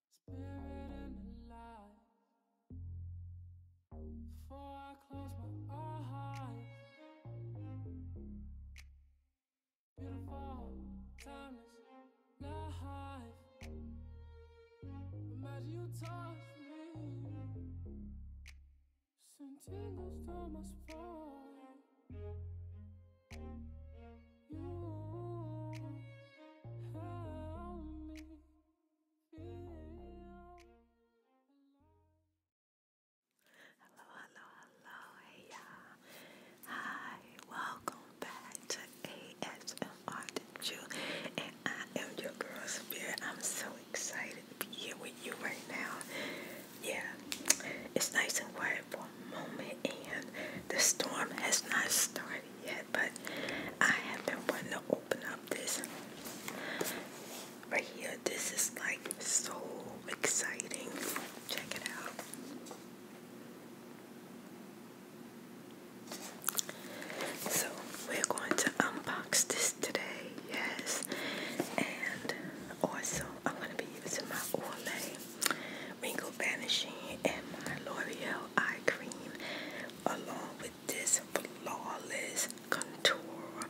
Spirit and the Before I close my eyes. Beautiful, timeless life. Imagine you touch me. Send tingles to my spine. Hello, hello, hello. Hey, y'all. Hi. Welcome back to ASMR Did You. And I am your girl, Spirit. I'm so excited to be here with you right now. Yeah. It's nice and quiet moment and the storm has not started yet, but I have been wanting to open up this right here. This is like so exciting. Check it out. So we're going to unbox this today, yes. And also I'm gonna be using my Olay Wrinkle Vanishing and my L'Oreal Eye Cream along with this Flawless Contour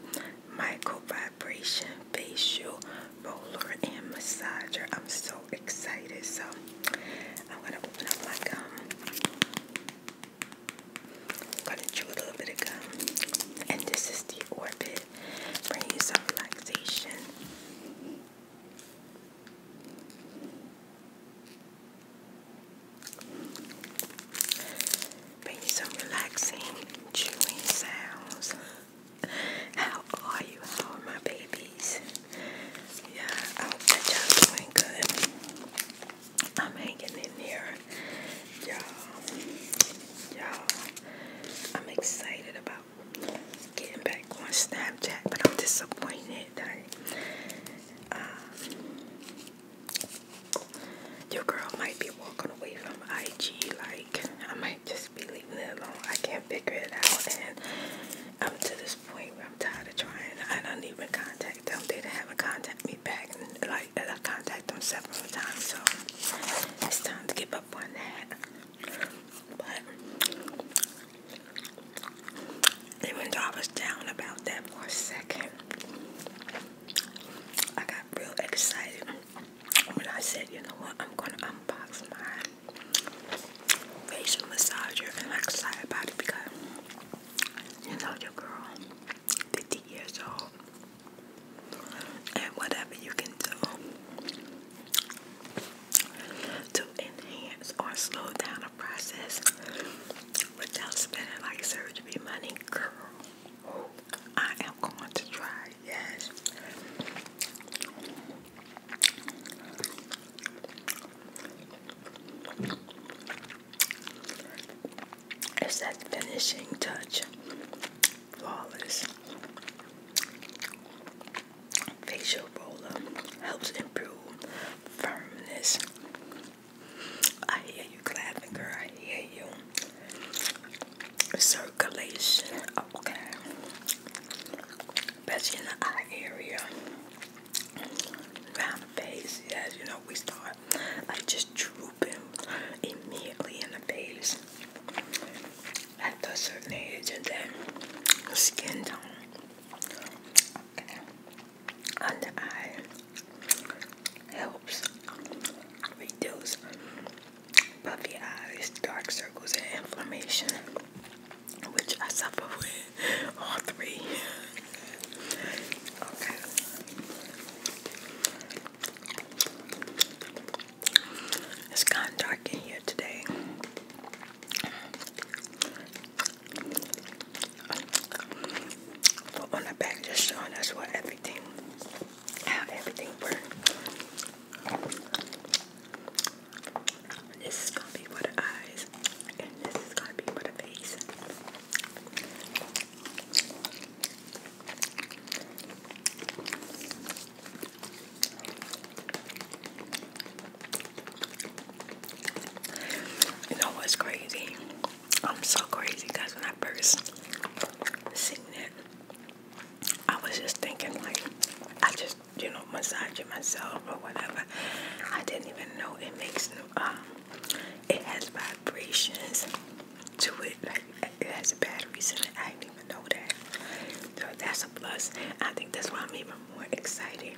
Micro Vibration Facial Roller and Massager. I'm so excited. So I'm going to open up my gum. going to chew a little bit of gum. And this is the Orbit. Bring you some relaxation. Bring you some relaxing chewing sounds. How are you? How are my babies? Yeah, I hope that doing good. I'm hanging in here. Y'all, y'all, I'm excited about getting back on Snapchat, but I'm disappointed that um, your girl might be walking away from IG. Like, I might just be leaving it alone. I can't figure it out. And I'm to this point where I'm tired of trying. I don't even contact them. They don't have a contact me back. And, like, I contact them several times. So, it's time to give up on that even though I was down about that for a second, I got real excited when I said, you know what, I'm gonna unbox my facial massager and I'm excited about it because you know your girl, 50 years old, and whatever you can do to enhance or slow down a process without spending like surgery money. Girl, I am going to try, yes. It's that finishing touch. Flawless. Facial roller helps improve firmness. I hear you clapping, girl. I hear you. Circulation. Okay. Especially in the eye area. Around the face. Yes, you know, we start like just drooping immediately in the face. After a certain age and then skin tone under eye helps reduce puffy eyes, dark circles, and inflammation, which I suffer with all three. Okay. It's kind of dark in here today. But on the back, just showing us what everything, how everything works. This is gonna be for the eyes, and this is gonna be for the face. You know what's crazy? I'm so crazy because when I first seen it, I was just thinking like I just you know massaging myself or whatever. I didn't even know it makes no um it has vibrations to it like it has batteries in it. I didn't even know that. So that's a plus. I think that's why I'm even i more excited.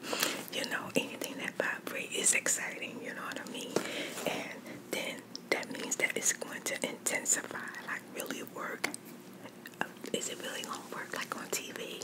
You know, anything that vibrates is exciting, you know what I mean? And then that means that it's going to intensify, like really work. Is it really gonna work like on TV?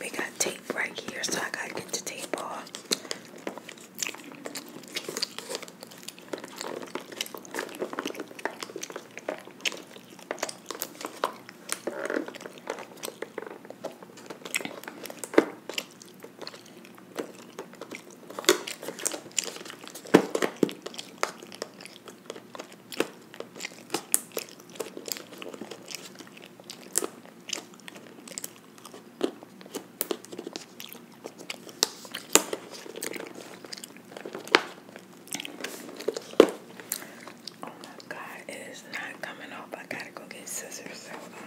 We got tape right here, so I gotta get the tape off. Oh my god, it is not coming off. I gotta go get scissors. Uh,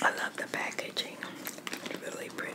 I love the packaging. It's really pretty.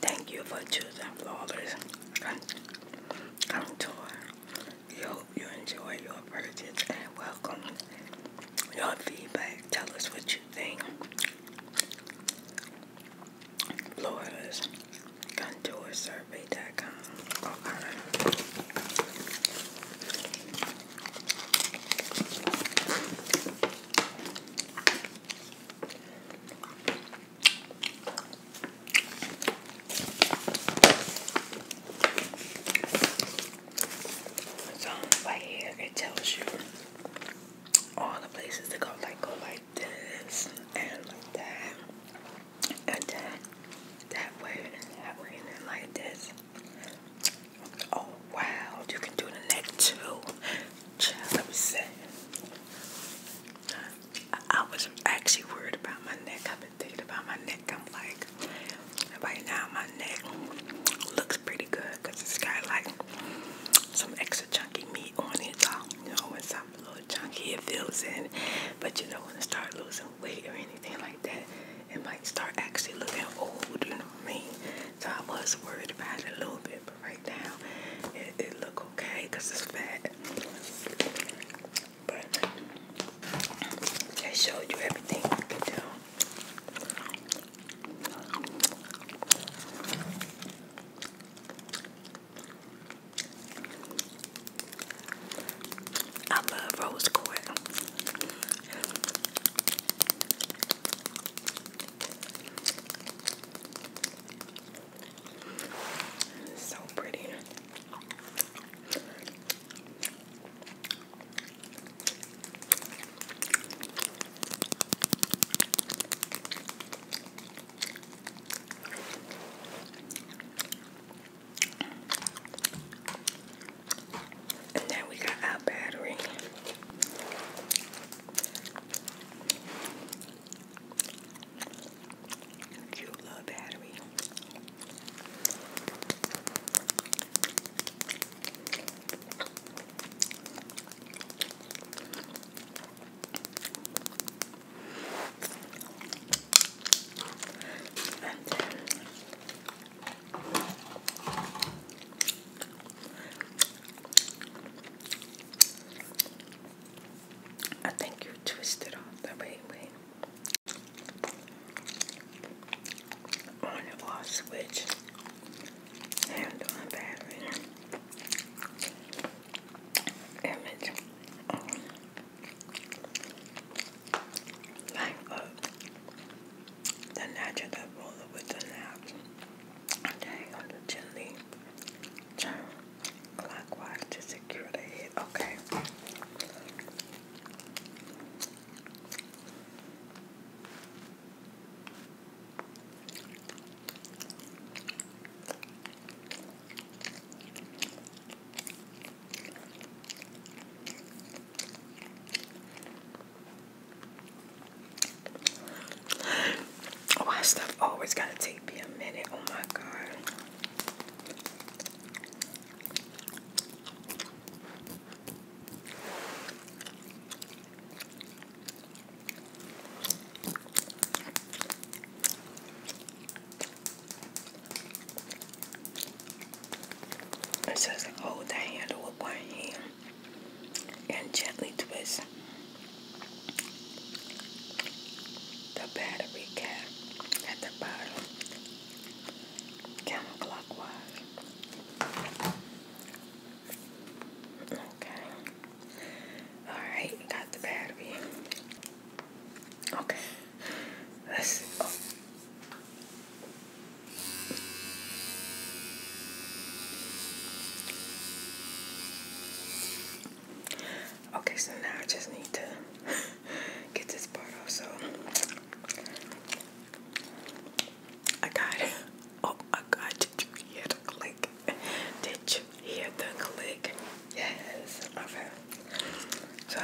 Thank you for choosing Flawless Contour. We hope you enjoy your purchase and welcome your feedback. Tell us what you think. Florida's contoursurvey.com. Oh, all right. So right here it tells you all the places to go, like go like like this and like that and then that way that way and like this. Oh wow, you can do the neck too. Child, let me see. I, was actually worried about my neck. I've been thinking about my neck. I'm like, right now my neck looks pretty good because it's got like some extra chunky meat on it, you know, and so uh, a little chunky, it feels in. But you don't wanna start losing weight or anything like that, it might start actually looking old, you know what I mean? So I was worried about it a little bit, but right now it, it look okay because it's fat. But I showed you everything you can do. I love rose quartz. So pretty. And then we got our battery. Cute little battery. I think you twisted off the way way. On and off switch. Handle and battery image like the natural roller with the knobs dang gently turn clockwise to secure the head okay why oh, stuff always gotta take me a minute? Oh my god. It says hold the handle with one hand and gently twist the battery cap at the bottom counterclockwise. Okay. Alright, got the battery. Okay. Let's. Okay, so now I just need to get this part off. So I got it. Oh, I got it. You hear the click? Did you here, the click. Yes. Okay. So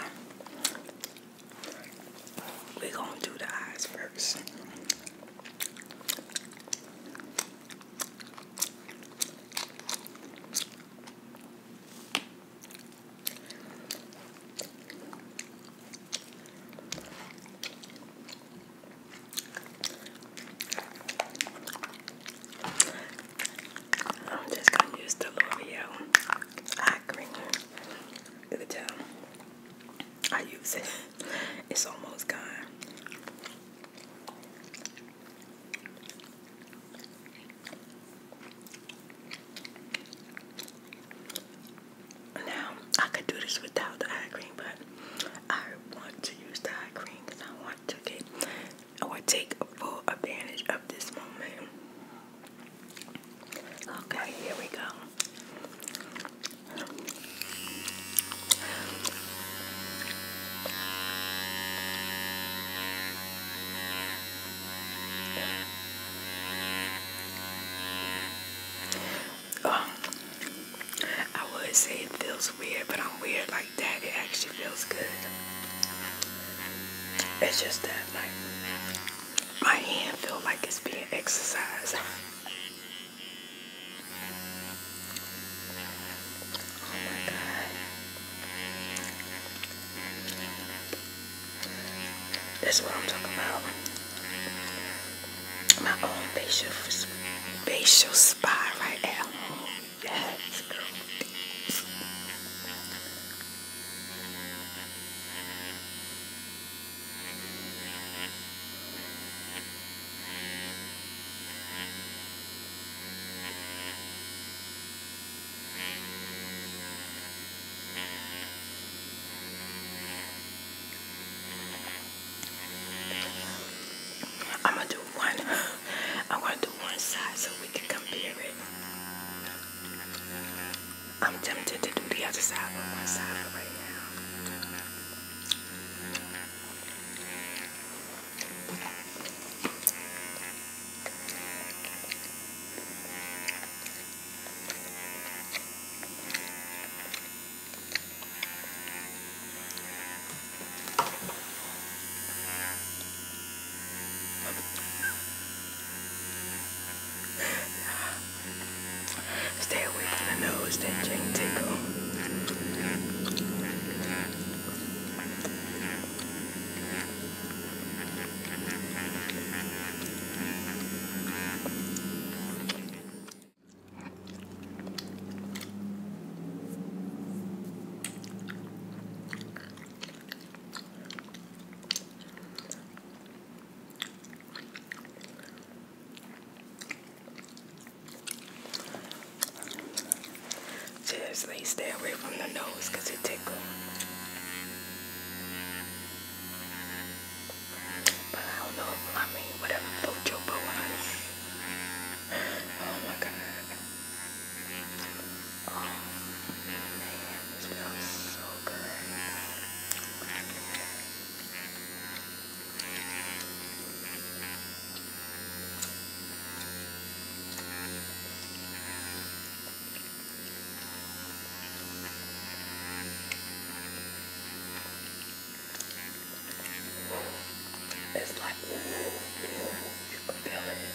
we gonna do the eyes first. I'm just going to use the L'Oreal eye cream. You can I use it. It's almost gone. Now, I could do this without the eye cream, but I want to use the eye cream because I want to get I or take full advantage of this moment. Okay, here we go. Oh, I would say it feels weird, but I'm weird like that. It actually feels good. It's just that like my hand feel like it's being exercised. Oh my god. That's what I'm talking about. My own facial facial spa right now. Let's I'm gonna do one. I'm gonna do one side so we can compare it. I'm tempted to do the other side with my side right now. Stay away from the nose, that chain tickle. Seriously, stay away from the nose because it tickles. But I don't know, I mean, whatever Oh my god. Oh man, this smells so good. It's like you can feel it.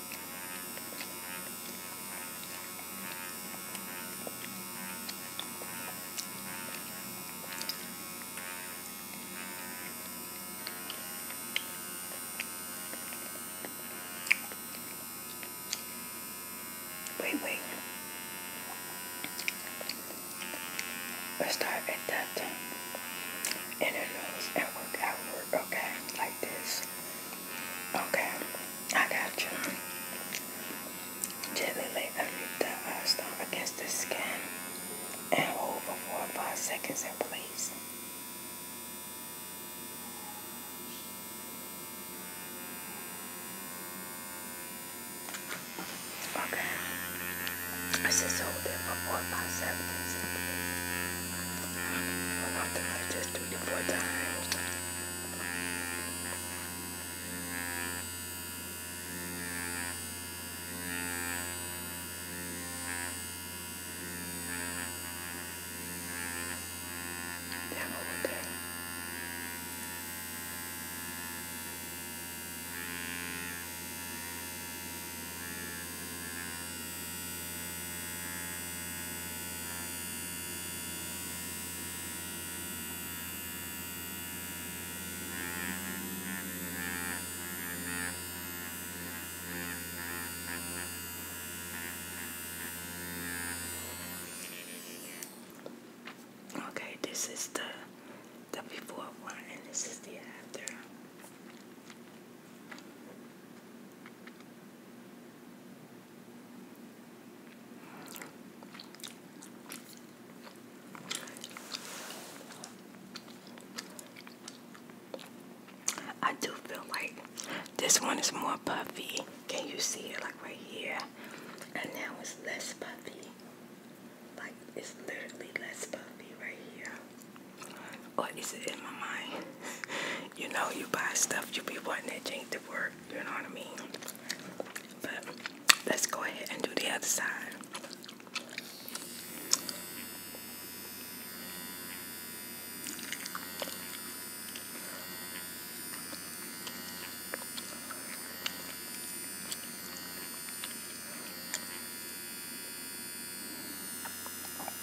Wait, wait. Let's start at that time. And it goes work outward, okay? this. Okay, I got you. Gently lay under the uh, stone against the skin and hold for four or five seconds in place. Okay, I just hold it for four or five seconds in place. Why don't I just do it four times? Down over there. Now Okay, this is the the before one and this is the after. I do feel like this one is more puffy. Can you see it like right here? And now it's less puffy. Like it's literally less puffy right here. What is it in my mind? you know, you buy stuff, you be wanting that ain't to work, you know what I mean? But let's go ahead and do the other side.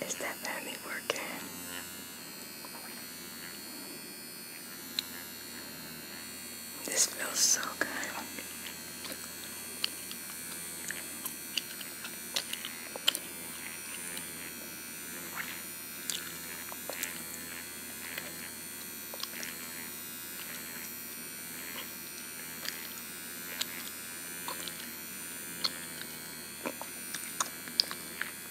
Is that family working? This feels so good.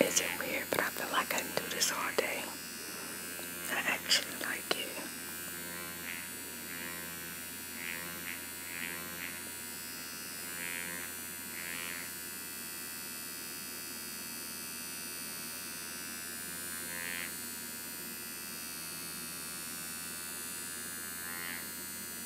Is it weird? But I feel like I can do this all day. I actually like it.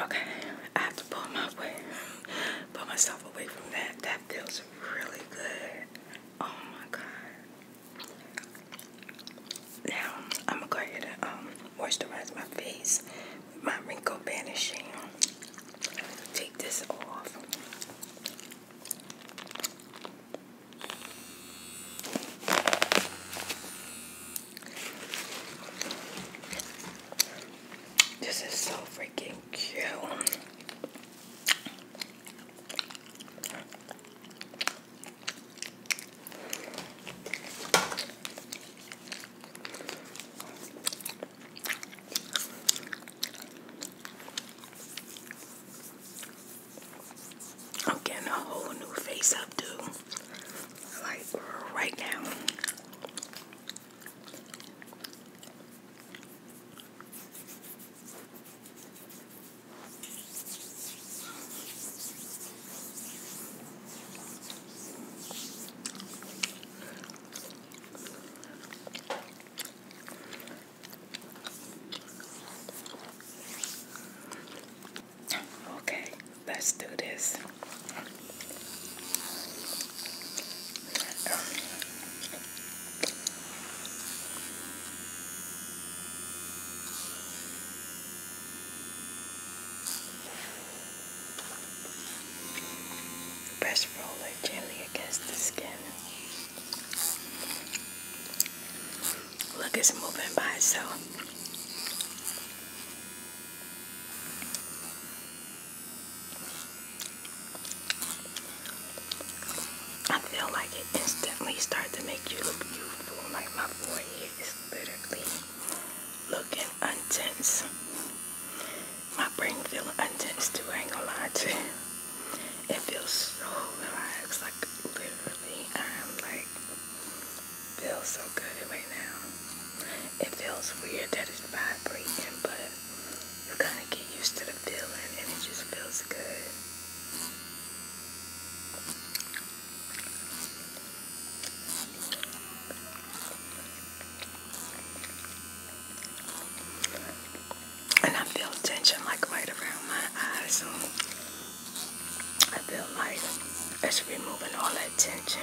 Okay, I have to pull my way, pull myself away from that. That feels really good. Oh my god. Now I'm gonna go ahead and um, moisturize my face with my wrinkle banishing. Take this off. This is so freaking cute. I'm getting a whole new face up, dude. Like right now. Okay, let's do this. Press roller gently against the skin. Look, it's moving by so. I feel like it instantly starts to make you look beautiful. Like my forehead is literally looking untense. My brain feeling untense too, I ain't gonna lie to you. It feels so relaxed, like literally I'm like feels so good right now. It feels weird that it's vibrating, but you kind of get used to the feeling and it just feels good and I feel tension like right around my eyes. So I feel like it's removing all that tension.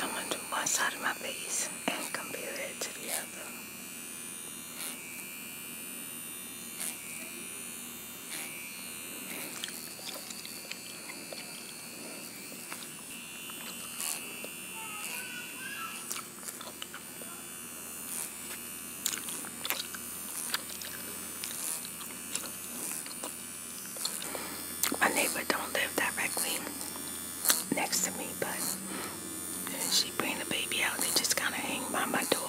I'm going to do one side of my face and compare it to the other. My neighbor don't live directly next to me, but she bring the baby out. They just kind of hang by my door.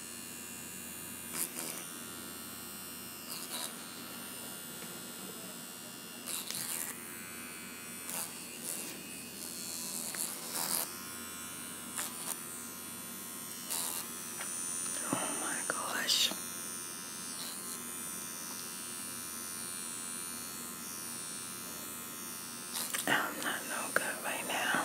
Oh my gosh. I'm not no good right now.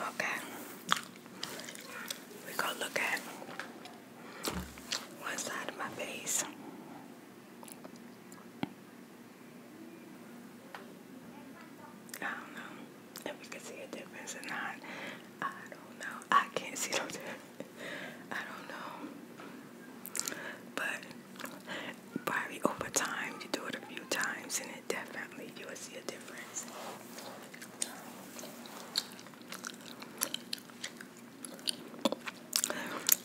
Okay, we're gonna look at one side of my face. I don't know if we can see a difference or not. I don't know. I can't see no difference. I don't know. But probably over time, you do it a few times, and it definitely you will see a difference.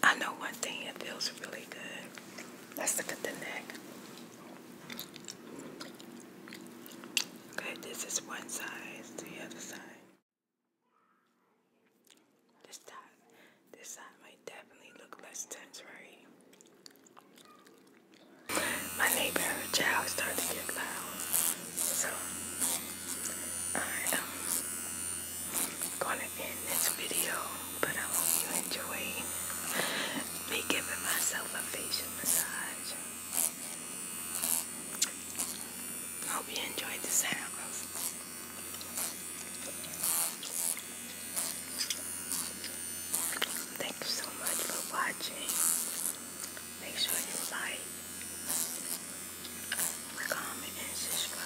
I know one thing it feels really good. Let's look at the neck. Okay, this is one side. to the other side. This side, this side might definitely look less tense, right? My neighbor, her child, started to get loud, so I am um, gonna end this video. But I hope you enjoy me giving myself a facial. Hope you enjoyed the sounds. Thank you so much for watching. Make sure you like, comment, and subscribe.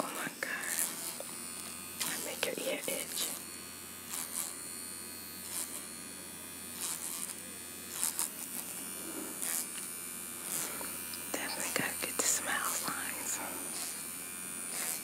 Oh my God! I make your ear itch. Definitely gotta smile lines.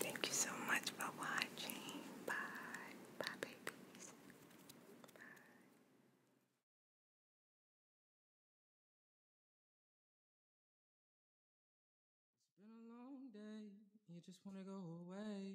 Thank you so much for watching. Bye. Bye, babies. Bye. It's been a long day. You just want to go away.